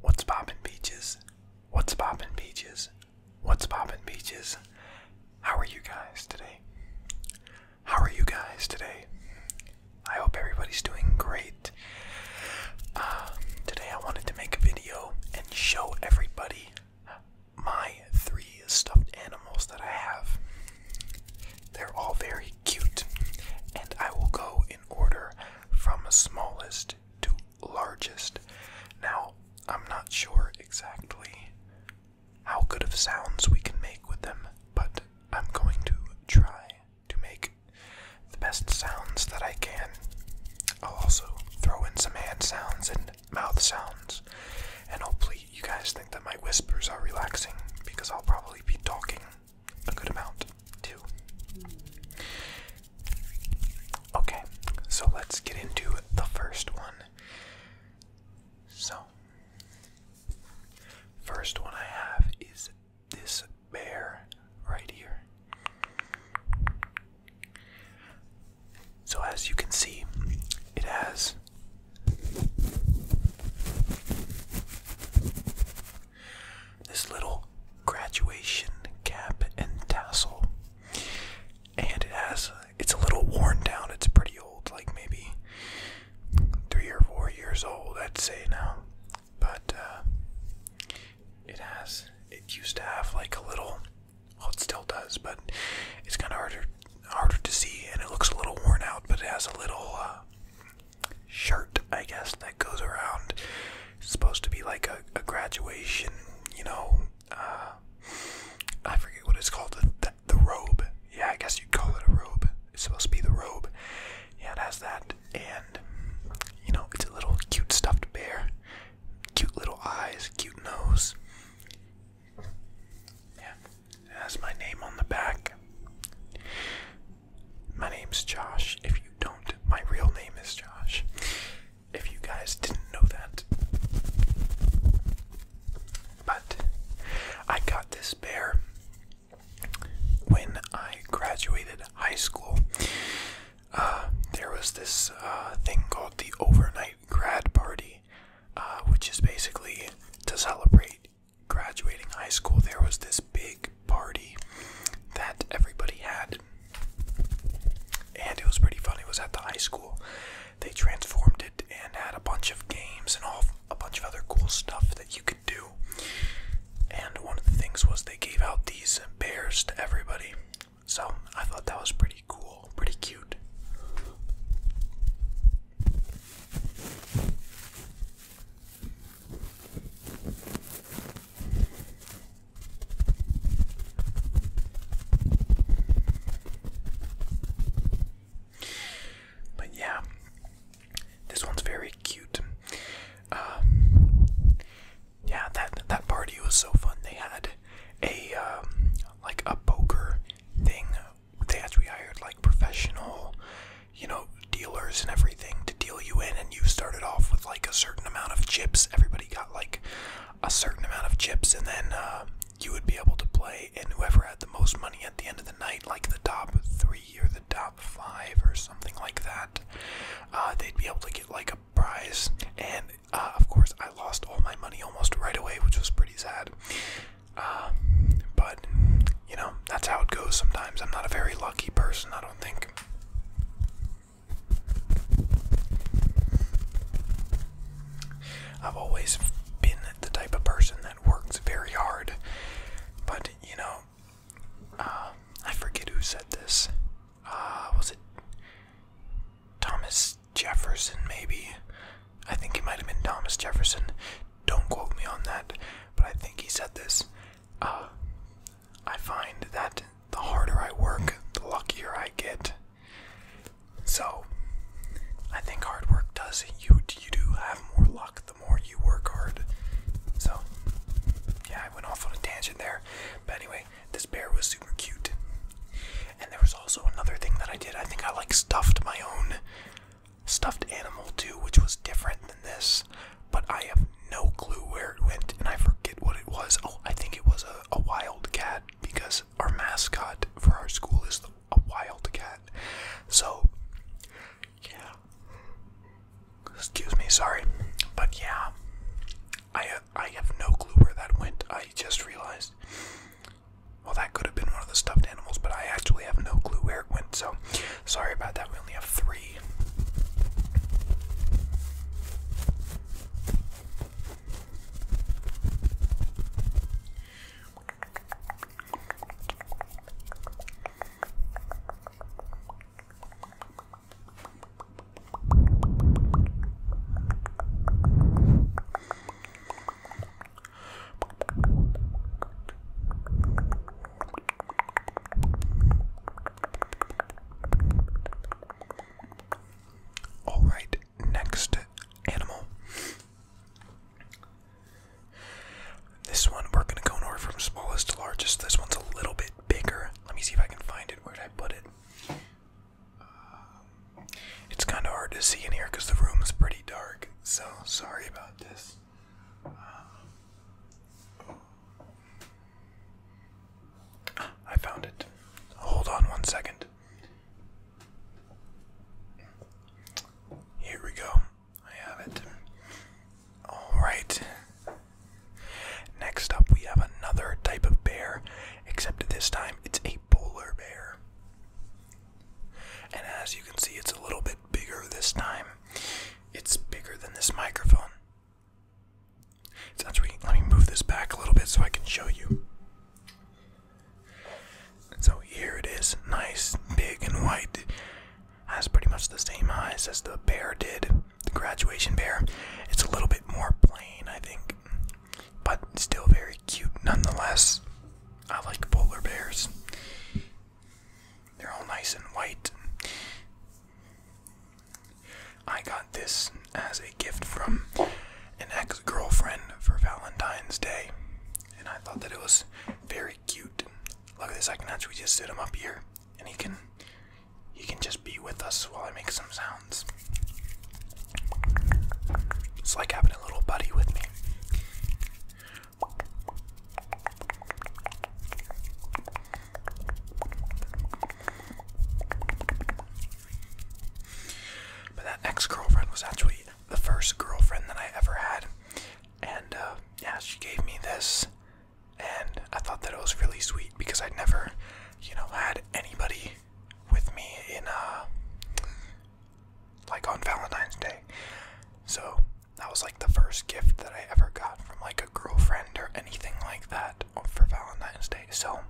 What's poppin' beaches? What's poppin' beaches? What's poppin' beaches? How are you guys today? How are you guys today? I hope everybody's doing great. Um, today I wanted to make a video and show everybody my three stuffed animals that I have. They're all very cute, and I will go in order from smallest to largest. Now, I'm not sure exactly how good of sounds we can make with them, but I'm going to try to make the best sounds that I can. I'll also throw in some hand sounds and mouth sounds, and hopefully, you guys think that my whispers are relaxing because I'll probably be talking a good amount too. Okay, so let's get into the first one. So, first one I have is this bear right here. So, as you can see, it has this little graduation cap and tassel. And it has, it's a little worn down, it's pretty old, like maybe three or four years old, I'd say now. But uh, it has, it used to have like a little, well, it still does, but it's kind of harder harder to see and it looks a little worn out, but it has a little uh, shirt, I guess, that goes around. supposed to be like a, a graduation, you know. Uh, I forget what it's called. The, the, the robe. Yeah, I guess you'd call it a robe. It's supposed to be the robe. Yeah, it has that. And, you know, it's a little cute stuffed bear. Cute little eyes, cute nose. Yeah, it has my name on the back. My name's Josh. If you don't, my real name is Josh. If you guys didn't know that. But I got this bear when I graduated high school. Uh, there was this uh, thing called the overnight grad party, uh, which is basically to celebrate graduating high school, there was this big party that everybody had. And it was pretty funny. It was at the high school. They transformed it and had a bunch of games and all a bunch of other cool stuff that you could do. And one of the things was they gave out these bears to everybody. So I thought that was pretty cool, pretty cute. But yeah, this one's very cute. Um, yeah, that that party was so fun. They had a um, like a poker thing. They actually hired like professional you know, dealers and everything to deal you in, and you started off with like a certain amount of chips. Everybody got like a certain amount of chips, and then uh, you would be able to play, and whoever had the most money at the end of the night, like the top three or the top five or something like that, uh, they'd be able to get like a prize. And uh, of course, I lost all my money almost right away, which was pretty sad. but you know, that's how it goes sometimes. I'm not a very lucky person, I don't think. I've always been the type of person that works very hard, but you know, uh, I forget who said this. Uh, was it Thomas Jefferson, maybe? I think he might have been Thomas Jefferson. Don't quote me on that, but I think he said this. Uh, I find that the harder I work, the luckier I get. So, I think hard work does you you do have more luck the more you work hard. So, yeah, I went off on a tangent there, but anyway, this bear was super cute. And there was also another thing that I did. I think I like stuffed my own stuffed animal too, which was different than this, but I have no clue where it went, and I forget what it was. Oh, I think it was a, wild cat because our mascot for our school is a wild cat. So, yeah. Excuse me, sorry, but yeah, I have, I have no clue where that went. I just realized. Well, that could have been one of the stuffed animals, but I actually have no clue where so sorry about that. We only have three. All right, next animal. This one we're gonna go in from smallest to largest. This one's a little bit bigger. Let me see if I can find it. Where did I put it? it's kind of hard to see in here because the room is pretty dark. So sorry about this. I found it. Hold on one second. Here we go. I have it. Alright. Next up, we have another type of bear, except this time it's a polar bear. And as you can see, it's a little bit bigger this time. It's bigger than this microphone. It's actually, let me move this back a little bit so I can show you. so here it is, nice, big, and white. Has pretty much the same eyes as the bear did, the graduation bear. It's a little bit more plain, I think, but still very cute nonetheless. I like polar bears. They're all nice and white. I got this as a gift from an ex girlfriend for Valentine's Day, and I thought that it was very cute. Look at this, I can just sit him up here, and he can. He can just be with us while I make some sounds. It's like having a little buddy with me. But that ex girlfriend was actually the first girlfriend that I ever had. And uh, yeah, she gave me this. And I thought that it was really sweet because I'd never, you know, had anybody with me in, uh, like on Valentine's Day. So that was like the first gift that I ever got from like a girlfriend or anything like that for Valentine's Day. So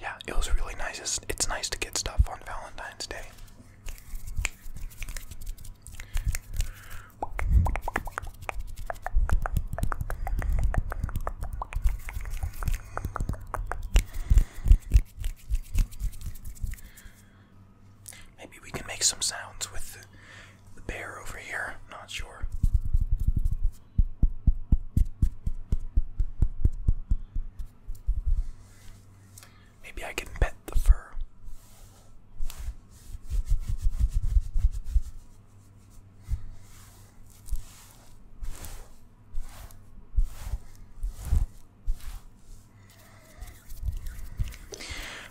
yeah, it was really nice. It's, nice to get stuff on Valentine's Day. Maybe we can make some sounds with the, bear over here. Not sure. Maybe I can pet the fur.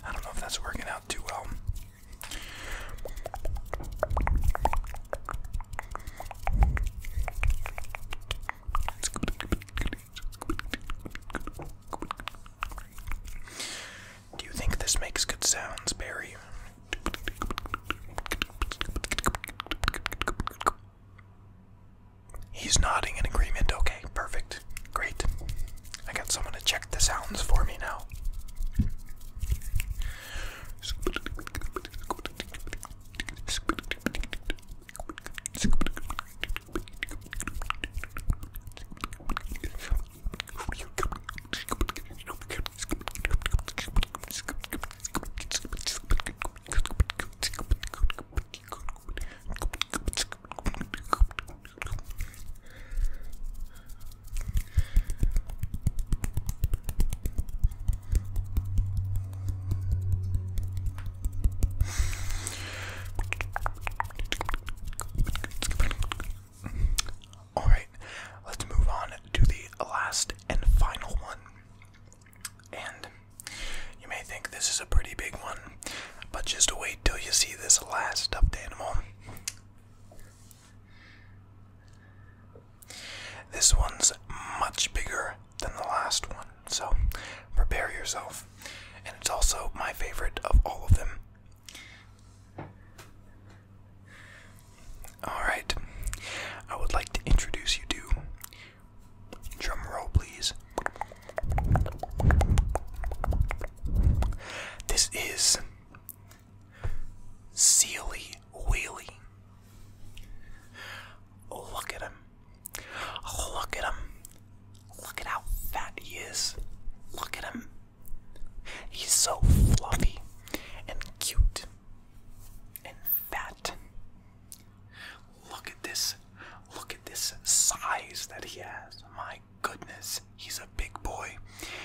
I don't know if that's working out too well. Do you think this makes good sounds, Barry? He's nodding in agreement. Okay, perfect. Great, I got someone to check the sounds for me now. All right, let's move on to the last and final one. And you may think this is a pretty big one, but just wait till you see this last stuffed animal. This one's much bigger than the last one, so prepare yourself. And it's also my favorite of all of them. Alright, I would like to introduce you to. Drum roll, please. This is Sealy Wheelie. Look at him. Look at him. Look at how fat he is. Look at him. He's so fluffy and cute and fat. Look at this. Look at this size that he has. My goodness, he's a big boy.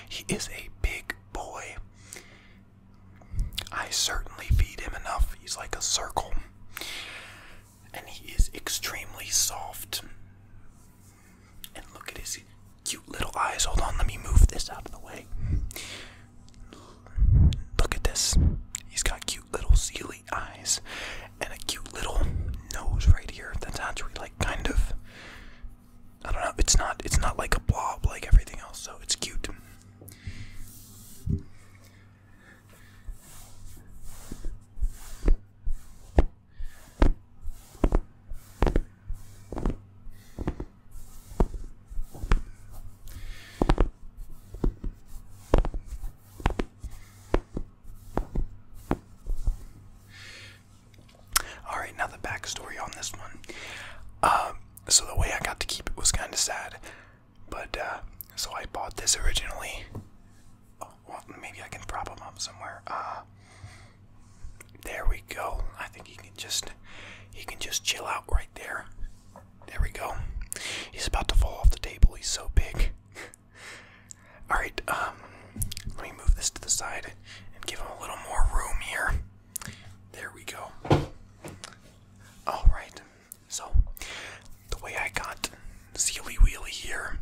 He is a big boy. I certainly feed him enough. He's like a circle. And he is extremely soft. And look at his cute little eyes. Hold on, let me move this out of the way. Look at this. He's got cute little sea eyes and a cute little nose right here that's actually like kind of I don't know, it's not it's not like a blob like everything else, so it's cute. Alright, now the backstory on this one. Um, so the way I got to keep it was kind of sad. But, uh, so I bought this originally. Oh, well, maybe I can prop him up somewhere. Uh, there we go. I think he can just, he can just chill out right there. There we go. He's about to fall off the table. He's so big. Alright, um, let me move this to the side and give him a little more room here. There we go. Alright, so the way I got Sealy Wheelie here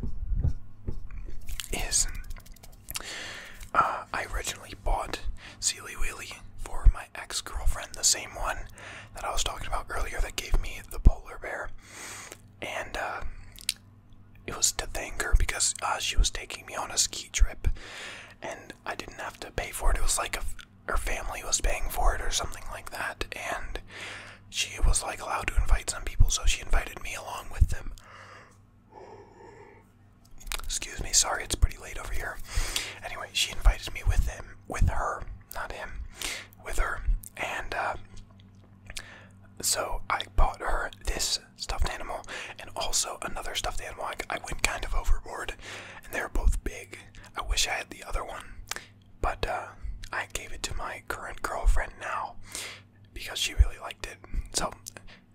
is uh, I originally bought Sealy Wheelie for my ex girlfriend, the same one that I was talking about earlier that gave me the polar bear. And uh, it was to thank her because uh, she was taking me on a ski trip and I didn't have to pay for it. It was like her family was paying for it or something like that. And she was like allowed to invite some people, so she invited me along with them. Excuse me, sorry, it's pretty late over here. Anyway, she invited me with him, with her, not him, with her, and uh, so I bought her this stuffed animal and also another stuffed animal. I, went kind of overboard, and they are both big. I wish I had the other one, but uh, I gave it to my current girlfriend now because she really liked it. So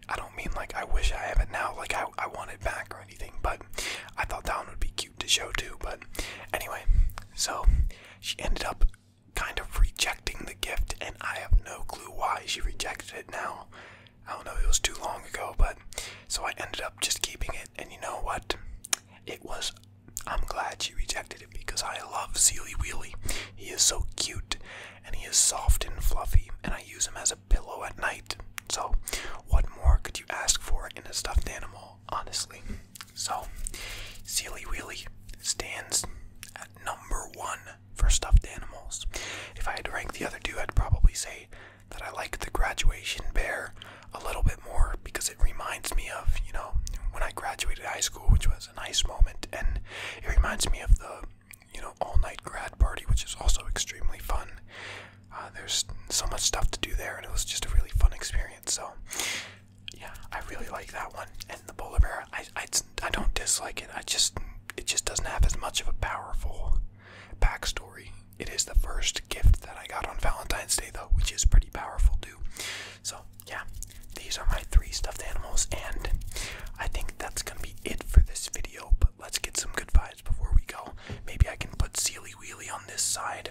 I don't mean like I wish I have it now, like I, I want it back or anything, but I thought that one would be cute to show too. But anyway, so she ended up kind of rejecting the gift, and I have no clue why she rejected it now. I don't know, it was too long ago, but so I ended up just keeping it, and you know what? It was. I'm glad she rejected it because I love Sealy Wheelie. He is so cute and he is soft and fluffy, and I use him as a pillow at night. So, what more could you ask for in a stuffed animal? honestly. So, Sealy Wheelie stands at number one for stuffed animals. If I had to rank the other two, I'd probably say that I like the graduation bear a little bit more because it reminds me of, you know, when I graduated high school, which was a nice moment, and it reminds me of the, you know, all night grad party, which is also extremely fun. Uh, there's so much stuff to do there, and it was just a really fun experience. So, yeah, I really like that one. And the polar bear, I, I, I don't dislike it. I just, it just doesn't have as much of a powerful backstory. It is the first gift that I got on Valentine's Day, though, which is pretty powerful too. So yeah, these are my three stuffed animals, and I think that's gonna be it for this video. But let's get some good vibes before we go. Maybe I can put Sealy Wheelie on this side